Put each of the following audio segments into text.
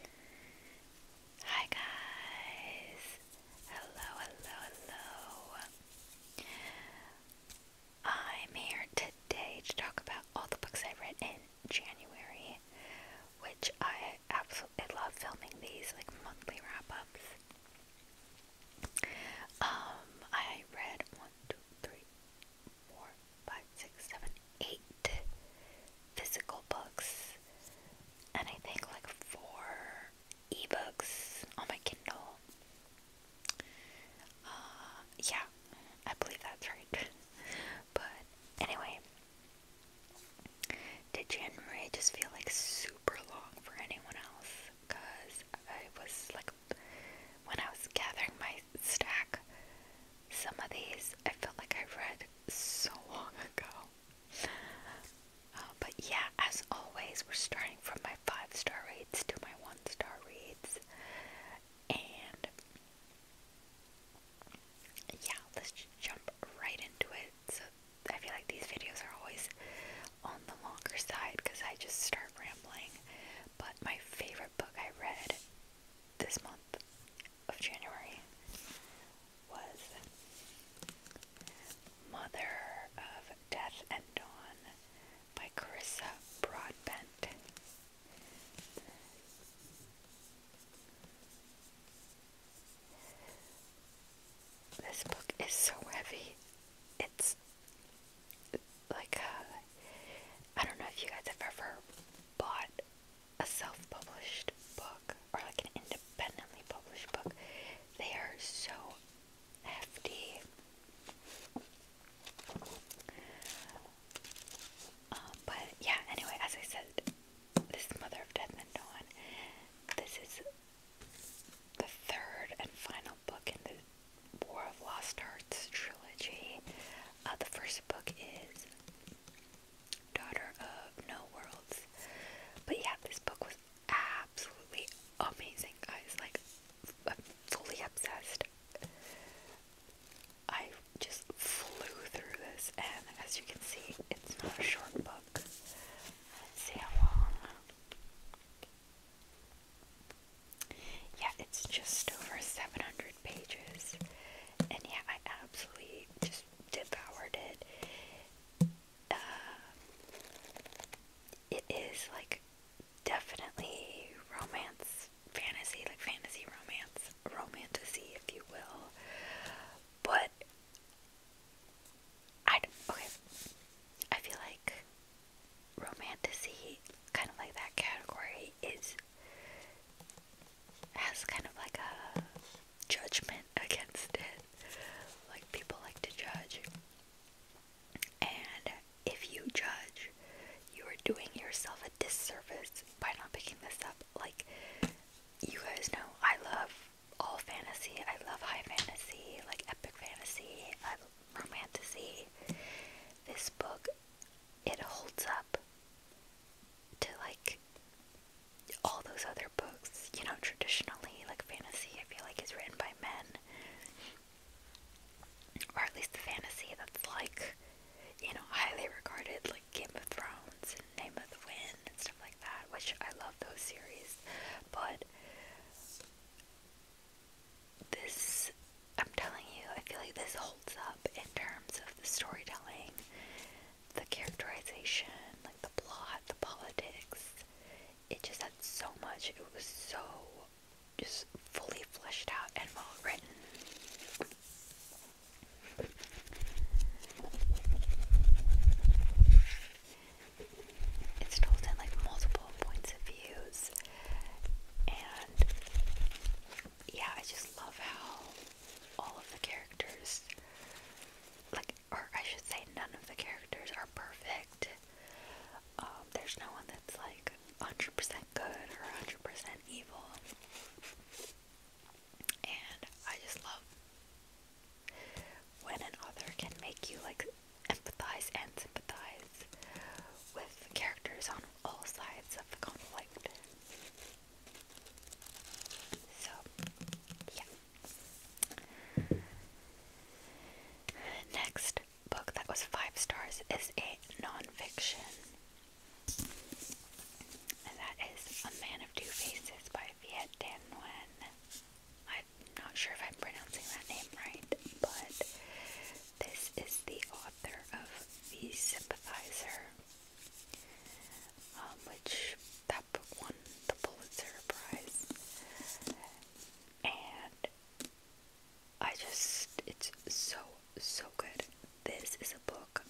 Hi guys! Hello, hello, hello! I'm here today to talk about all the books I read in January, which I absolutely love filming these like monthly wrap-ups. Um, I read one, two, three, four, five, six, seven, eight physical books and I think like four ebooks on my Kindle. Uh, yeah, I believe that's right. but anyway, did January just feel like super long for anyone else? Because I was like, when I was gathering my stack, some of these I felt like I read so long ago. Uh, but yeah, as always, we're starting from my five star reads to my one star reads. And yeah, let's jump right into it. So I feel like these videos are always on the longer side because I just start rambling. But my favorite book I read this month of January was Mother of Death and Dawn by Carissa Broadbent. This book is so heavy. It's like, uh, I don't know if you guys have ever bought a self-published book or like an independently published book, they are so hefty. Um, but yeah, anyway, as I said, this is Mother of Death and Dawn. This is the third and final book in the War of Lost Hearts trilogy. Uh, the first book is Daughter of No Worlds. But yeah, this book was absolutely amazing, guys. Like, I'm fully obsessed. I just flew through this, and as you can see, it's not a short book. see how long. Yeah, it's just over 700 pages. And yeah, I absolutely just devoured it. Uh, it is like definitely romance, fantasy, like fantasy romance, romantasy, if you will. But I okay, I feel like romantasy, kind of like that category, is has kind of like a judgment against it. Like, people like to judge. And if you judge, you are doing yourself a disservice by not picking this up. Like, you guys know I love all fantasy, I love high fantasy, like epic fantasy, I romantasy. This book, it holds up to like all those other books, you know, traditionally, like fantasy, I feel like is written by men. Or at least the fantasy that's like, you know, highly regarded, like Game of Thrones and Name of the Wind and stuff like that, which I love those series. But this, I'm telling you, I feel like this holds up in terms of the storytelling the characterization, like the plot, the politics. It just had so much. It was so just fully fleshed out and well written. It's told in like multiple points of views, and yeah, I just love how all of the characters, like, or I should say, none of the characters are perfect. Um, there's no one that's like 100% good or 100% evil. And I just love when an author can make you like empathize and sympathize with characters on all sides of the conflict. So, yeah. Next book that was five stars is a nonfiction, and that is A Man of Two Faces by Viet Thanh Nguyen. I'm not sure if I'm pronouncing that name right, but this is the author of The Sympathizer. Um, which that book won the Pulitzer Prize. And I just, it's so, so good. This is a book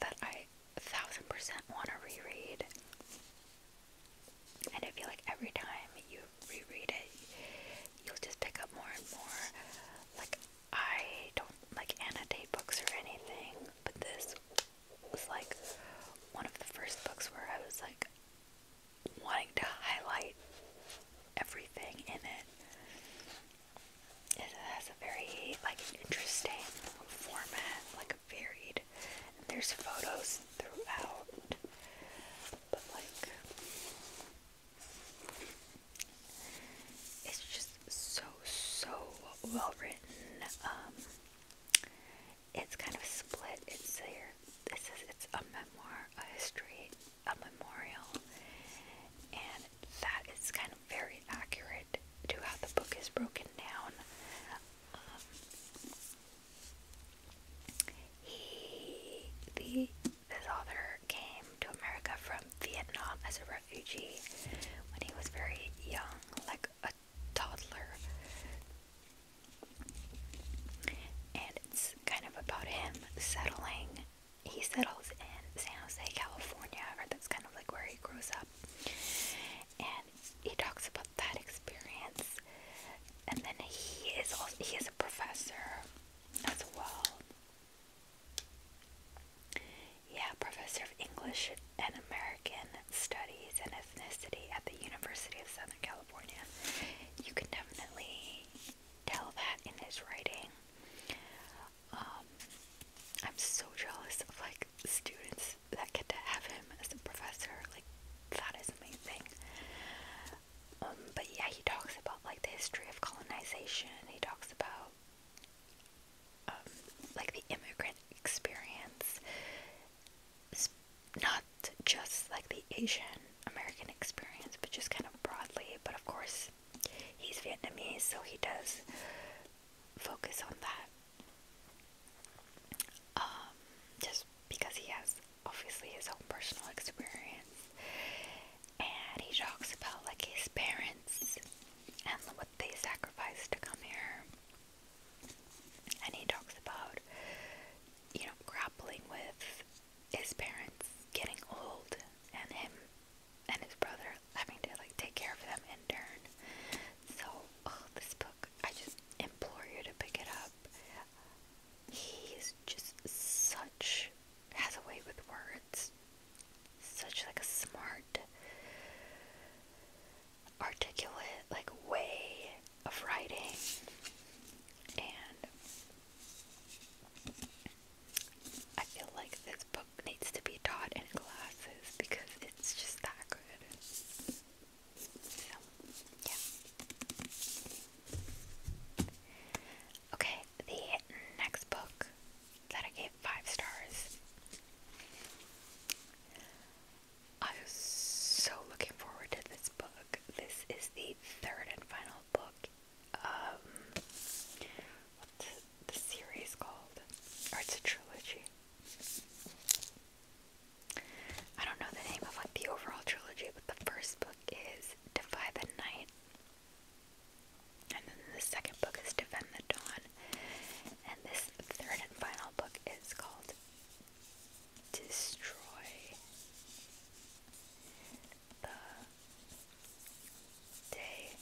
that I a thousand percent want to reread. And I feel like every time you reread it, you'll just pick up more and more. Like, I don't like annotate books or anything, but this was like one of the first books where I was like wanting to highlight everything in it. It has a very like interesting format, like varied. And there's photos throughout, but like it's just so so well written. Um, it's kind of split. It's there. This is it's a memoir, a history, a memorial, and that is kind of very accurate to how the book is broken down. Um, he the this author came to America from from Vietnam as a refugee when he was very young, like a toddler. And it's kind of about him settling. He settles in San Jose, California, or that's kind of like where he grows up. And he talks about that experience. And then he is also he is a professor as well. Yeah, professor of English and American Studies and Ethnicity at the University of Southern California. You can definitely tell that in his writing. Um, I'm so jealous of like students that get to have him as a professor. Like that is amazing. Um, but yeah, he talks about like the history of colonization. He talks about um, like the immigrant experience is not just like the Asian American experience, but just kind of broadly. But of course, he's Vietnamese, so he does focus on that. Um, just because he has obviously his own personal experience, and he talks about like his parents and what they sacrificed to come here. And he talks about, you know, grappling with his parents getting old and him and his brother having to like take care of them in turn. So, oh, this book, I just implore you to pick it up. He's just such has a way with words such like a smart articulate like way of writing and I feel like this book needs to be taught in classes because it's just that good. So yeah. Okay, the next book that I gave five stars. I was so looking forward to this book. This is the third and final book um, what's the series called? Or it's a trilogy. I don't know the name of like the overall trilogy, but the first book is Defy the Night, and then the second book is Defend the Dawn. And this third and final book is called Destroy the Day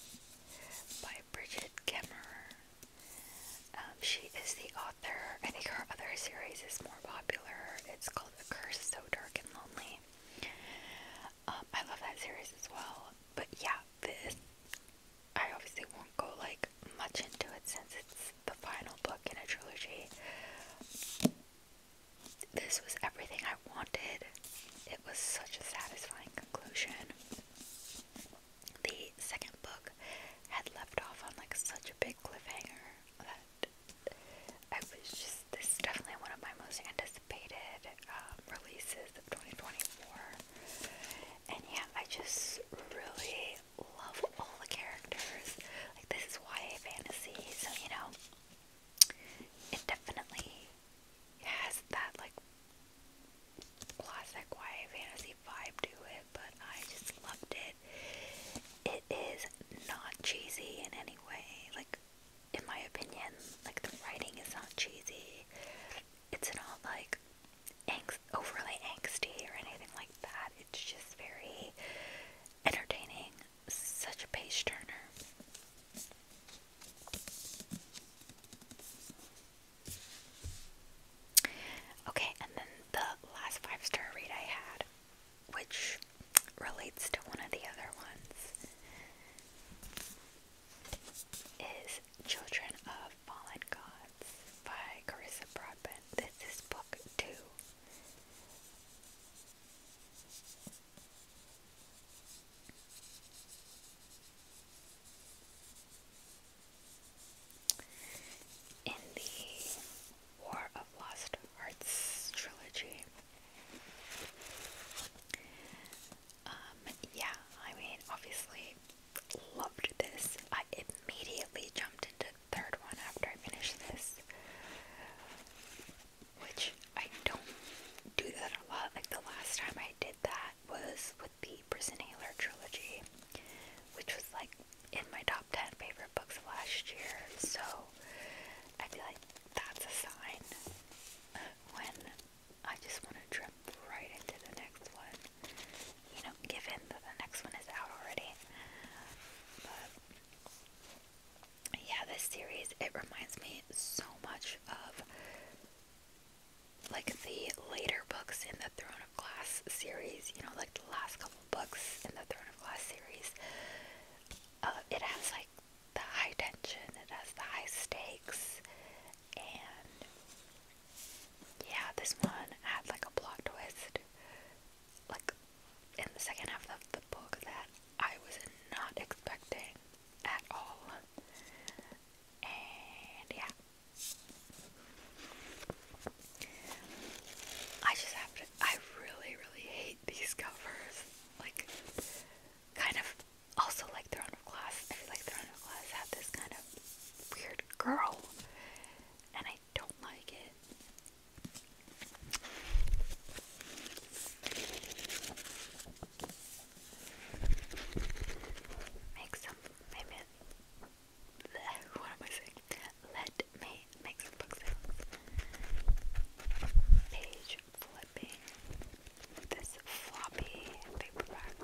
by Bridget Kemmerer. Um, she is the author. I think her other series is more popular. It's called A Curse So Dark and Lonely. Um, I love that series as well. But yeah, this. I obviously won't go like much into it since it's the final book in a trilogy. This was everything I wanted. It was such a satisfying conclusion. The second book had left off on like such a big cliffhanger that I was just this is definitely one of my most anticipated um, releases of 2024. And yeah, I just really love all the characters. Like, this is YA fantasy, so you know, it definitely has that, like, classic YA fantasy vibe to it, but I just loved it. It is not cheesy in any way. Like, in my opinion, like, the writing is not cheesy it's not like overly angsty or anything like that. It's just very entertaining. Such a page turner. Okay, and then the last five star read I had, which relates to one of the other ones is Children of Fallen Gods by Carissa Broadbent. This is book two. In the War of Lost Arts trilogy, um, yeah, I mean, obviously loved this. I immediately jumped into the third one after I finished this. Which I don't do that a lot. Like the last time I did that was with the Prison Hailer trilogy, which was like in my top 10 favorite books of last year. So I feel like that's a sign when I just want to jump right into the next one. You know, given that the next one is out already. But yeah, this series it reminds me so much of like the later books in the Throne of Glass series, you know, like the last couple books in the Throne of Glass series. Uh, it has like the high tension, it has the high stakes, and yeah, this one had like a plot twist, like in the second half of the book that I was not expecting at all. And yeah. I just have to I really really hate these covers. Like kind of also like Throne of Glass. I feel like Throne of Glass had this kind of weird girl, and I don't like it. Make some, maybe, what am I saying? Let me make some book Page flipping this floppy paperback.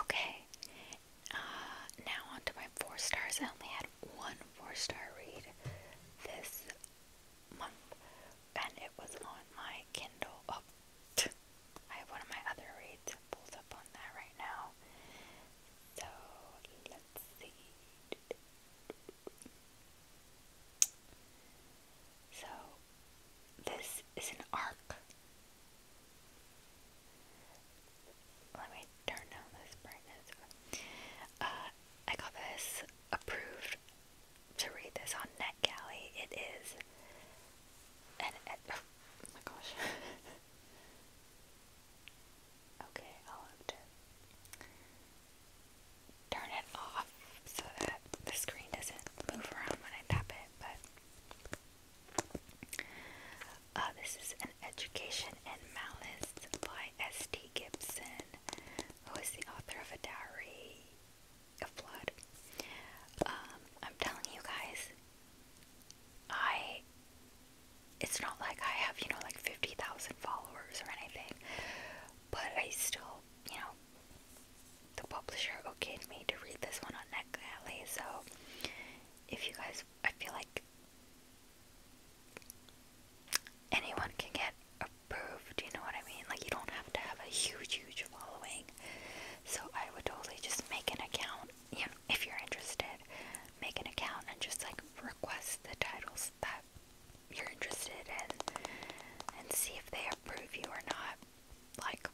Okay, uh, now on my four stars. I only had one four star read this month, and it was on my Kindle. Oh, I have one of my other reads pulled up on that right now. So let's see. So, this is an arc. Let me turn down this brightness. Uh, I got this approved to read this on NetGalley. It is Oh my gosh. Okay, I'll have turn it off so that the screen doesn't move around when I tap it, but uh, this is an education and malice by St. Gibson, who is the author of A Diary of Blood. Um, I'm telling you guys, I it's not like I have, you know, like 50,000 followers or anything, but I still, you know, the publisher okayed me to read this one on NetGalley, so if you guys, I feel like anyone can get approved, you know what I mean? Like, you don't have to have a huge, huge following, so I would totally just make an account, you know, if you're interested, make an account and just like request the titles that that you're interested in and see if they approve you or not. Like,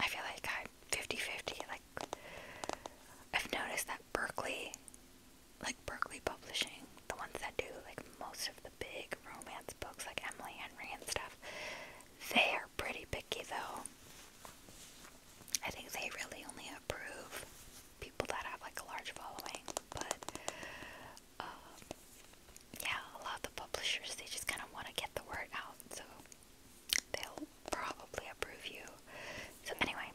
I feel like I'm 50 50. Like, I've noticed that Berkeley, like Berkeley Publishing, the ones that do like most of the big romance books, like Emily Henry and stuff, they are pretty picky though. I think they really only approve people that have like a large following, but um, yeah, a lot of the publishers they just kind of want to get the word out, so they'll probably approve you. So anyway,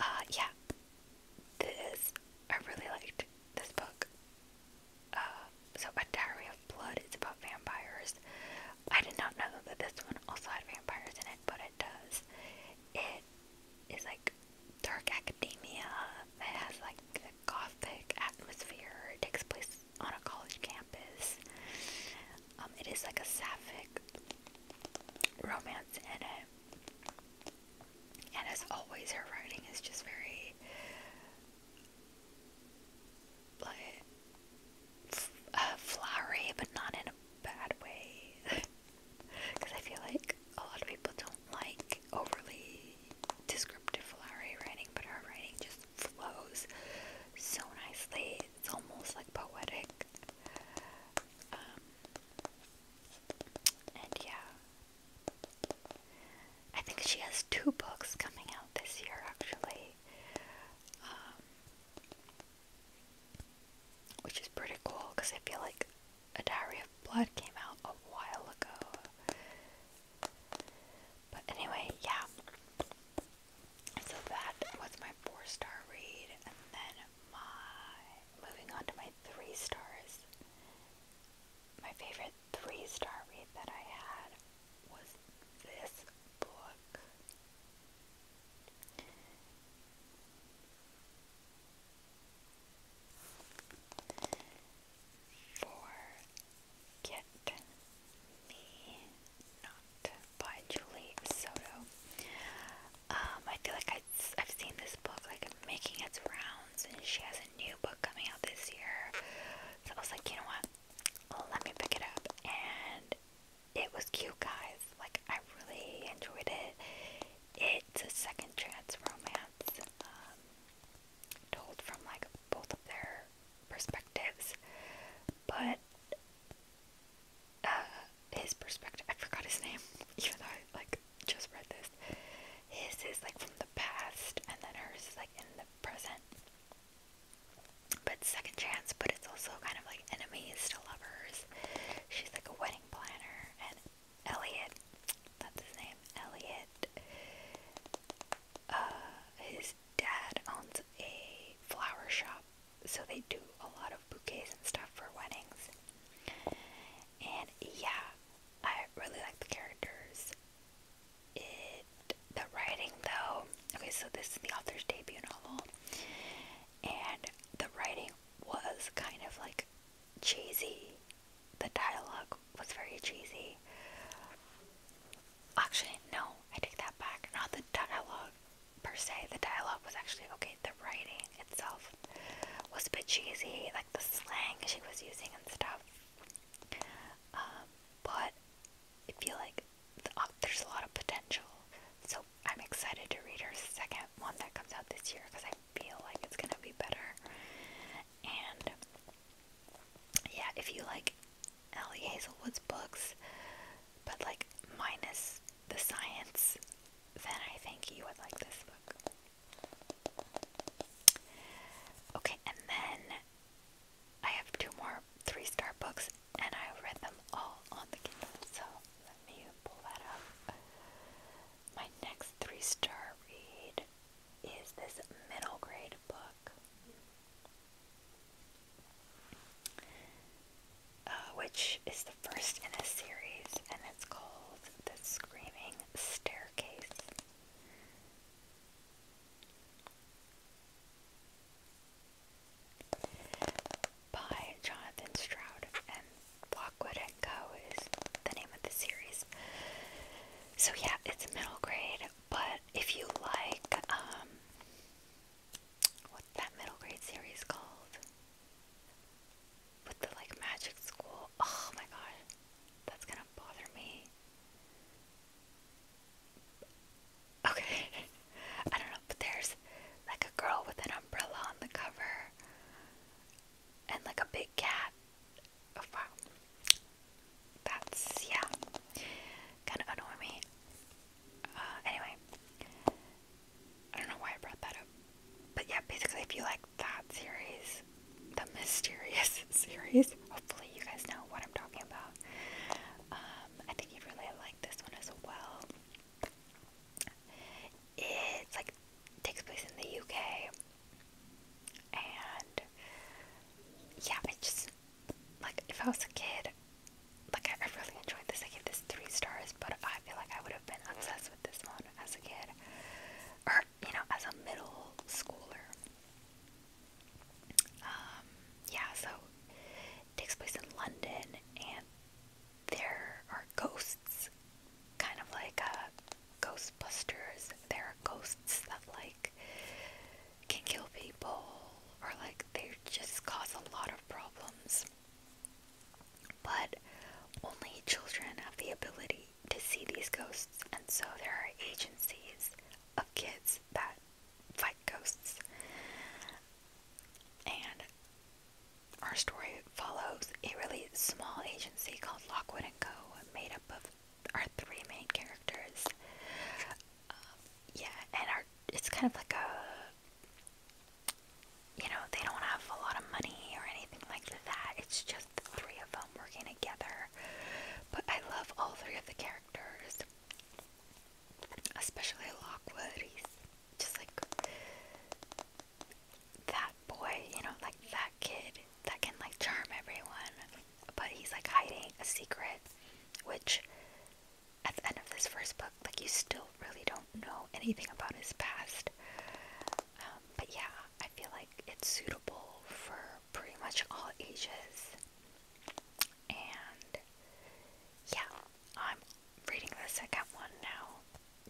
uh, yeah, this I really liked this book. Uh, so A Diary of Blood is about vampires. I did not know that this one also had vampires in it, but it does. It is like dark academia that has like a gothic atmosphere. It takes place on a college campus. Um, it is like a sapphic romance in it. And as always, her writing is just very like f uh, flowery, but not in a bad way. Because I feel like a lot of people don't like overly descriptive flowery writing, but her writing just flows so nicely. It's almost like poetic. Um, and yeah. I think she has two books coming out this year, actually. Um, which is pretty cool because I feel like A Diary of Blood came out a while ago. But anyway, yeah. So that was my four star read, and then my moving on to my three stars. My favorite three star read that I had was this book. Forget Me Not by Julie Soto. Um, I feel like I'd, I've seen this book like making its rounds, and she has a new book coming out this year. So I was like, you know what? Let me pick it up, and it was cute, guys. Like, I really enjoyed it. It's a second chance romance, um, told from like both of their perspectives, but uh, his perspective, I forgot his name, even though I like just read this. His is like from the past, and then hers is like in the present. But second chance, but it's also kind of like enemies to lovers. She's like a wedding planner, and Elliot, that's his name, Elliot, uh, his dad owns a flower shop, so they do a lot of bouquets and stuff for weddings. And yeah, I really like the characters. It the writing though okay so this is the author's debut novel and the writing was kind of like cheesy. The dialogue was very cheesy. Actually, no, I take that back. Not the dialogue per se. The dialogue was actually okay. The writing itself was a bit cheesy, like the slang she was using and stuff. Um, but I feel like uh, there's a lot of potential. So I'm excited to read her second one that comes out this year because I feel like it's gonna be better. And yeah, if you like Ellie Hazelwood's books, but like minus the science, then I think you would like this book. Okay, and then I have two more three star books, and I read them all on the Kindle, so let me pull that up. My next three star read is this middle grade book, uh, which is the first in a series, and it's called The Screaming Staircase by Jonathan Stroud, and Lockwood and Co. is the name of the series. So yeah, it's middle grade, but if you like, um, what's that middle grade series called? With the like magic school. Oh my god, that's gonna bother me. Okay, I don't know but there's like a girl with an umbrella on the cover and like a big cat. Oh, wow. That's yeah. Kinda annoy me. Uh, anyway. I don't know why I brought that up. But yeah, basically if you like that series, the mysterious series, hopefully you guys know what I'm talking about. Um, I think you'd really like this one as well it's like takes place in the UK, and yeah, I just like if I was a kid, like I, really enjoyed this. I gave this three stars, but I feel like I would have been obsessed with this one as a kid, or you know, as a middle schooler. Um, yeah, so takes place in London, and there are ghosts, kind of like uh, Ghostbusters. There are ghosts that like can kill people, or like they just cause a lot of problems. But only children have the ability to see these ghosts, and so there are agencies of kids that fight ghosts. And our story follows a really small agency called Lockwood and Co., made up of our three main characters. Um, yeah, and our it's kind of like a you know they don't have a lot of money or anything like that. It's just the three of them working together. But I love all three of the characters, especially Lockwood just like that boy, you know, like that kid that can like charm everyone, but he's like hiding a secret, which at the end of this first book, like you still really don't know anything about his past. Um, but yeah, I feel like it's suitable for pretty much all ages. And yeah, I'm reading the second one now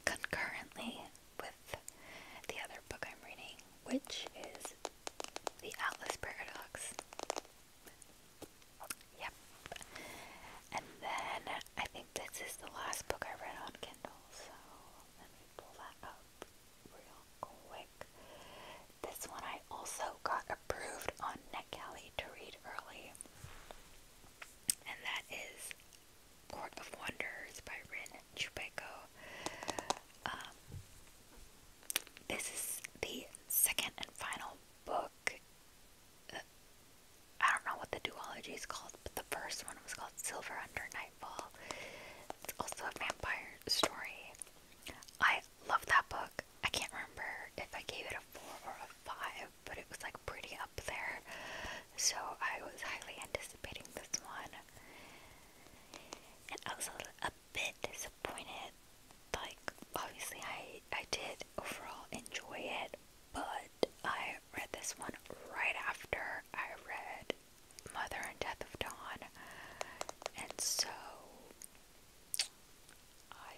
concurrently with the other book I'm reading, which is The Atlas Paradox. Yep. And then I think this is the last book I read on Kindle, so let me pull that up real quick. This one I also got approved on NetGalley to read early and that is Court of Wonders by Rin Chupeco. Um, this is the second and final book. Uh, I don't know what the duology is called, but the first one was called Silver Under Nightfall. It's also a vampire story. I love that book. I can't remember if I gave it a 4 or a 5, but it was like pretty there. So I was highly anticipating this one. And I was a, a bit disappointed. Like, obviously, I, I did overall enjoy it, but I read this one right after I read Mother and Death of Dawn. And so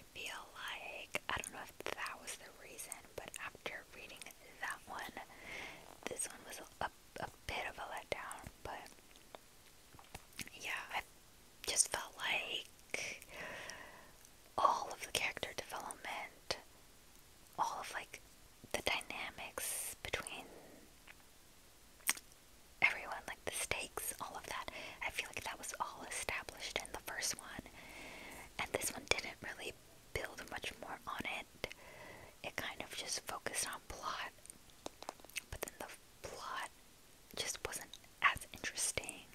I feel like, I don't know if that was the reason, but after reading that one, this one was a, a bit of a letdown, but yeah, I just felt like all of the character development, all of like the dynamics between everyone, like the stakes, all of that, I feel like that was all established in the first one and this one didn't really build much more on it. It kind of just focused on plot, but then the plot just wasn't as interesting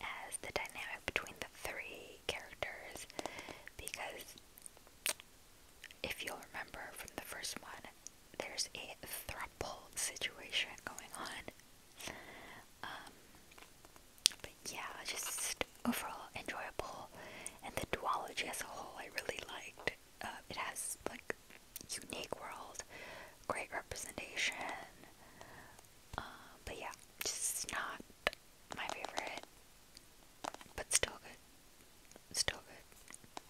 as the dynamic between the three characters because if you'll remember from the first one, there's a throuple situation going on. Um, yeah, just overall enjoyable. And the duology as a whole, I really liked. Uh, it has like unique world, great representation. Uh, but yeah, just not my favorite, but still good. Still good.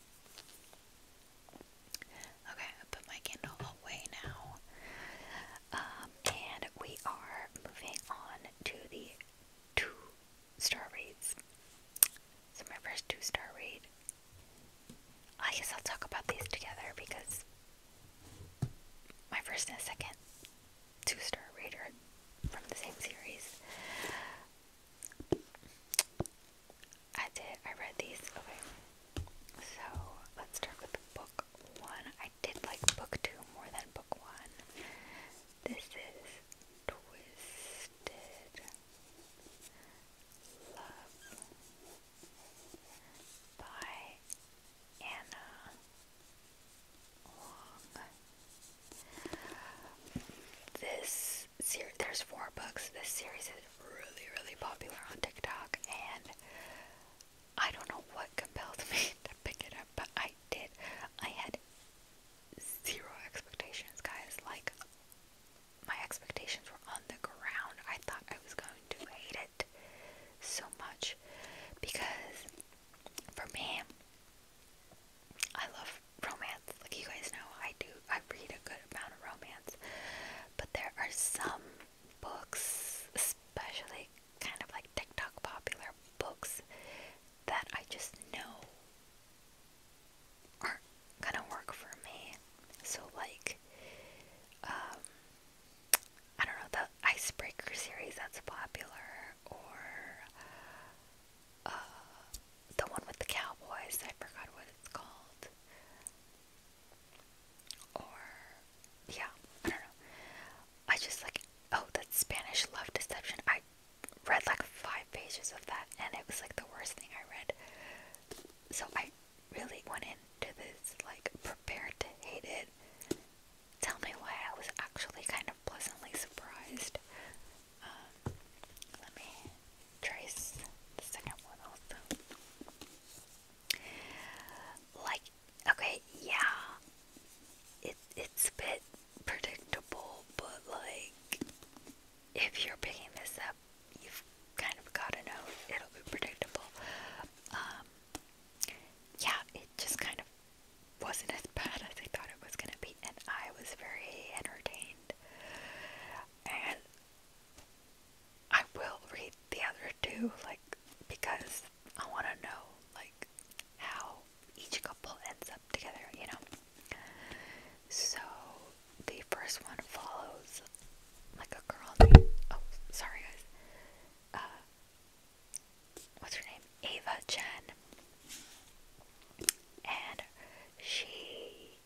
Okay, I put my Kindle hallway now. Um, and we are moving on to the two star reads. So, my first two star read. I guess I'll talk about these together because my first and second two star read from the same series. I did, I read these. Okay. So, let's start with the one. I did like book two more than book one. This is Twisted Love by Anna This series, there's four books. This series is really, really popular on TikTok, and I don't know what compelled me to pick it up, but I did. I had zero expectations, guys. Like, my expectations were on the ground. I thought I was going to hate it so much because for me, I love romance. Like, you guys know, I do. I read a good amount of romance, but there are some books, especially kind of like TikTok popular books that I just know aren't gonna work for me. So like, um, I don't know, the Icebreaker series that's popular, or uh, the one with the cowboys, I forgot what it's called. Or, yeah, I don't know. I just like oh that Spanish love deception. I read like five pages of that and it was like the worst thing I read. So I really went into this like prepared to hate it. Tell me why I was actually kind of pleasantly surprised. Um, let me trace the second one also. Like Okay, yeah. It it's a bit predictable, but like if you're picking this up, you've kind of gotta know it'll be predictable. Um, yeah, it just kind of wasn't as bad as I thought it was gonna be and I was very entertained. And I will read the other two, like because I want to know like how each couple ends up together, you know. So the first one follows like a girl named oh sorry guys. Uh what's her name? Ava Chen. And she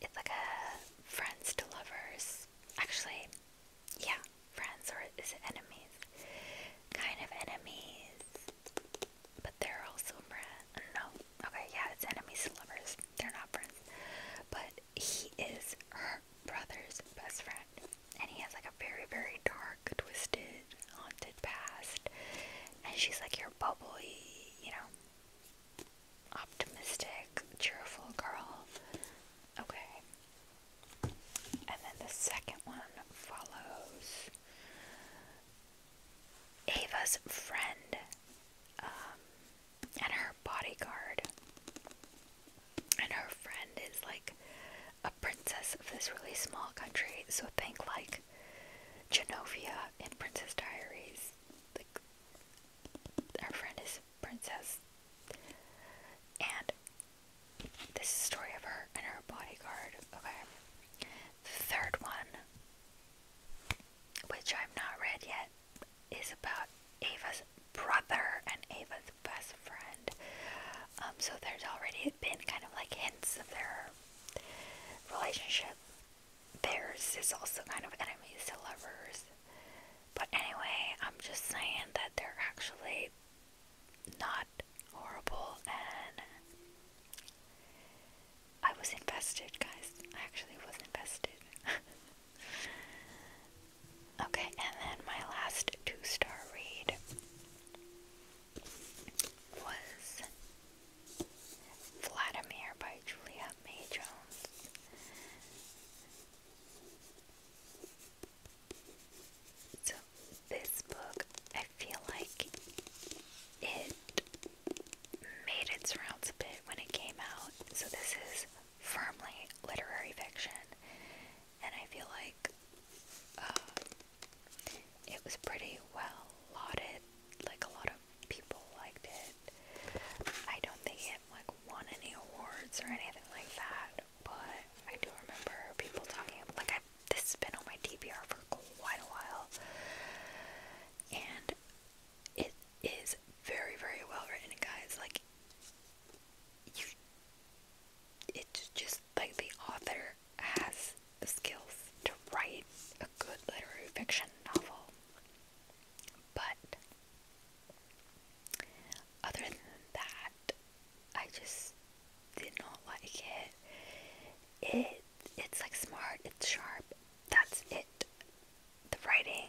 it's like a friends to lovers. Actually, yeah, friends or is it enemies? Kind of enemies, but they're also friends. No, okay, yeah, it's enemies and lovers. They're not friends, but he is her brother's best friend, and he has like a very, very dark, twisted, haunted past. And she's like your bubbly, you know, optimistic, cheerful girl. Okay, and then the second one follows Ava's friend um, and her bodyguard. And her friend is like a princess of this really small country. So think like Genovia in Princess Diaries. Like, our friend is princess. And this is story of her and her bodyguard. Okay. The third one, which I've not read yet, is about Ava's brother and Ava's best friend. Um, so there's already been kind of like hints of their relationship. Theirs is also kind of enemies to lovers. But anyway, I'm just saying that they're actually not horrible and I was invested, guys. I actually was invested. okay, and then my last two star read was Vladimir by Julia May Jones. So, this book, I feel like it made its rounds a bit when it came out. So, this is firmly literary fiction, and I feel like uh, it was pretty well lauded. Like, a lot of people liked it. I don't think it like won any awards or anything like that, that, but I do remember people talking like I this has been on my DVR for quite a while, and it is very very well written, guys. Like you, it's just like the author has the skills to write a good literary fiction novel, but other than that, I just did not like it. It it's like smart, it's sharp. That's it. The writing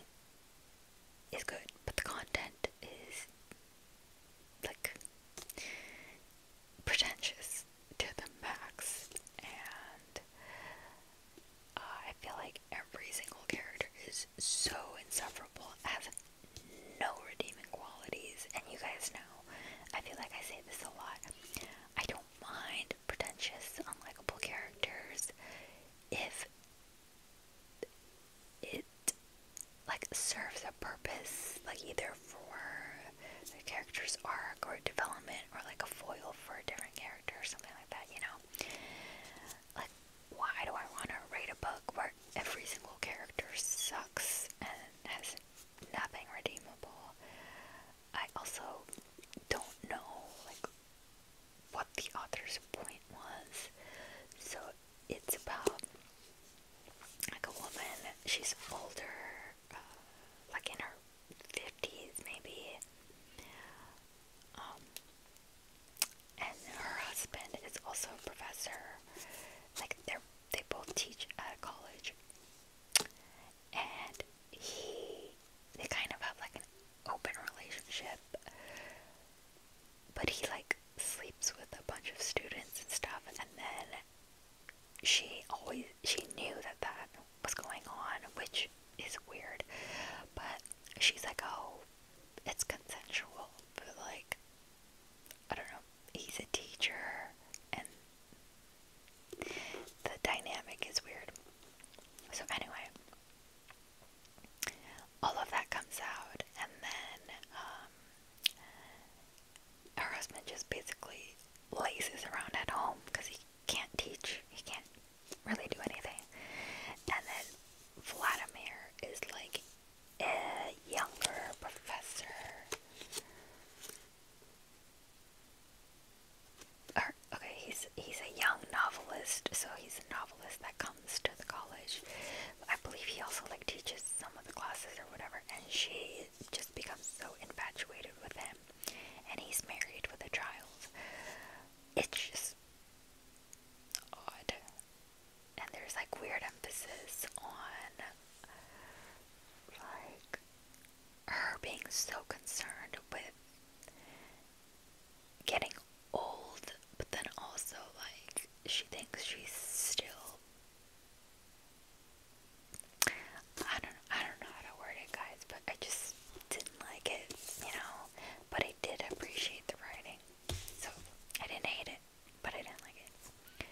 is good, but the content is like pretentious to the max and uh, I feel like every single character is so insufferable, has no redeeming qualities, and you guys know, I feel like I say this a lot. I don't mind pretentious, unlikable characters if it like serves a purpose, like either for the character's arc or development or like a foil for a different character or something like that, you know? Like why do I want to read a book where every single character sucks and has nothing redeemable? I also don't know like what the author's point was. So it's about like a woman, she's older, uh, like in her 50s maybe. Um, and her husband is also a professor. Like they they both teach at a college, and he they kind of have like an open relationship, but he like sleeps with a bunch of students and stuff, and then she always she knew that that was going on, which is weird, but she's like, oh, it's consensual, but like, I don't know, he's a teacher, and the dynamic is weird. So, anyway, all of that comes out, and then um, her husband just basically laces around at home because he can't teach, he can't really do anything. And then Vladimir is like a younger professor. Or, okay, he's he's a young novelist, so he's a novelist that comes to the college. I believe he also like teaches some of the classes or whatever, and she just becomes so infatuated with him, and he's married with a child. It's just odd. And there's like weird emphasis on like her being so concerned with getting old, but then also like she thinks she's still I don't I don't know how to word it guys, but I just didn't like it, you know. But I did appreciate the writing. So I didn't hate it, but I didn't like it.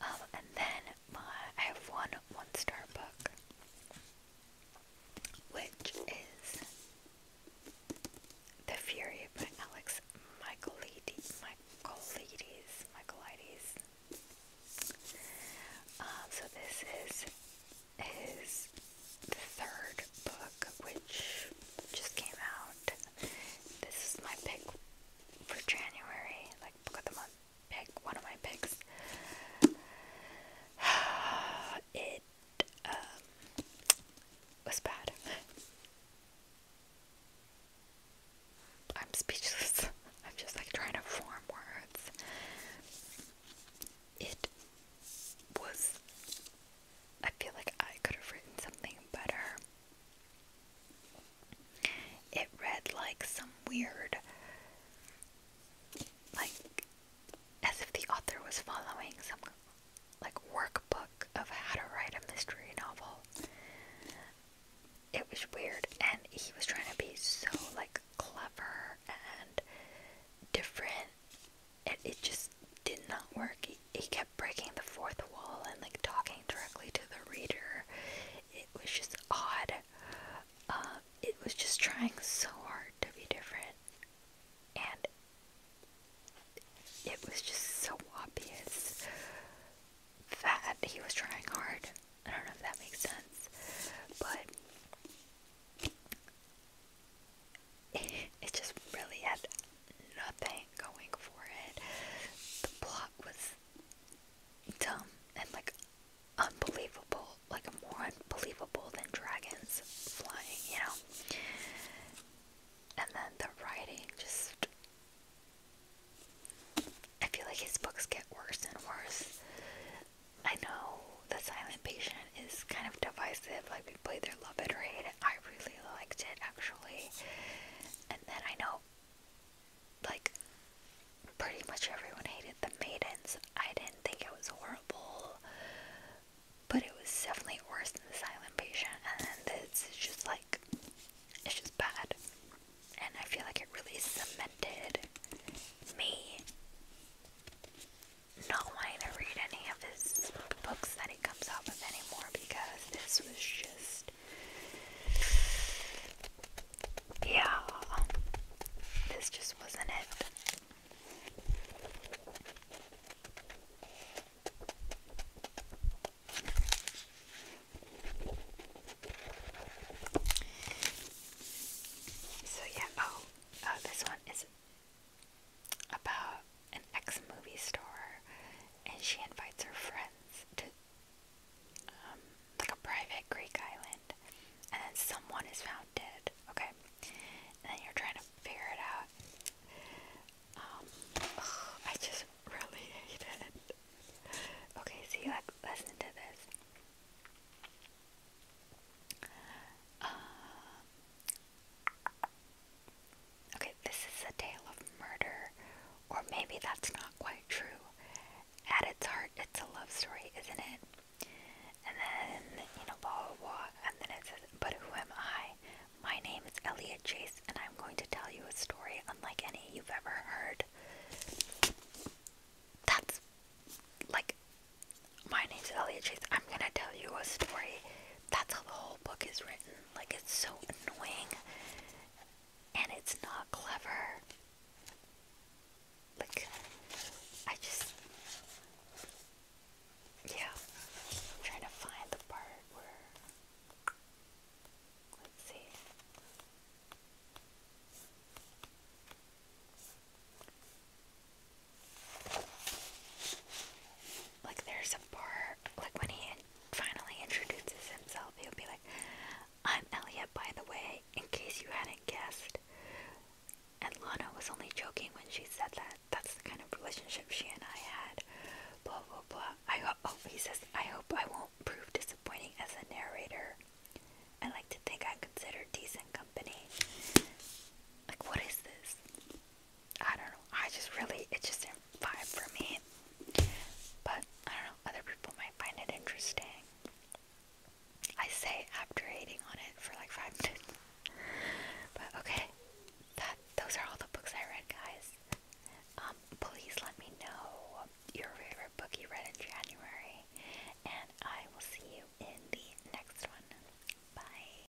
Um, and then my I have one one star book, which is The Fury by Alex Michaelides. Michaelides. Michaelides. Um, so this is his the third book, which just came out. This is my pick for January, like book of the month pick, one of my picks. It um, was bad. I'm speechless. I'm just like trying to form words. It was I feel like I could have written something better. It read like some weird, like, as if the author was following some, like, workbook of how to write a mystery novel. It was weird, and he was trying to be so, like, clever and different it, it just did not work. He, he kept breaking the fourth wall and like talking directly to the reader. It was just odd. Um, it was just trying so hard to be different, and it was just so obvious that he was trying hard. I don't know if that makes sense, but it just really had nothing going for it. The plot was dumb and like unbelievable, like more unbelievable than dragons flying, you know. And then the writing just I feel like his books get worse and worse. I know The Silent Patient is kind of divisive, like people either love it or hate it. I really liked it actually. And then I know like pretty much everyone hated the maidens. I didn't think it was horrible. But it was definitely worse than the silent patient and this is just like it's just bad. And I feel like it really cemented me not wanting to read any of his books that he comes out with anymore because this was just. Yeah, this just wasn't it. So, yeah, oh, uh, this one is about an ex movie star, and she invites her friends to um, like a private Greek island, and then someone is found dead. Okay, and then you're trying to figure it out. Um, I just really hate it. Okay, see, like, listen to this. Uh, okay, this is a tale of murder, or maybe that's not quite true. At its heart, it's a love story, isn't it? And then, you know, blah, blah, And then it says, but who am I? My name is Elliot Chase, and I'm going to tell you a story unlike any you've ever heard. That's like, my name's Elliot Chase. I'm going to tell you a story that's how the whole book is written. Like, it's so annoying. And it's not clever. Like, I just. Yeah. I'm trying to find the part where. Let's see. Like there's a part, like when he finally introduces himself, he'll be like, "I'm Elliot, by the way, in case you hadn't guessed." And Lana was only joking when she said that. That's the kind of relationship she and I had. Blah blah blah. I hope. Oh, he says, "I hope I won't prove disappointing as a narrator." I like to think I'm considered decent company. Like, what is this? I don't know. I just really, it just didn't vibe for me. But I don't know, other people might find it interesting. I say after hating on it for like five minutes. But okay, that those are all the books I read, guys. Um, please let me know your favorite book you read in January, and I will see you in the next one. Bye.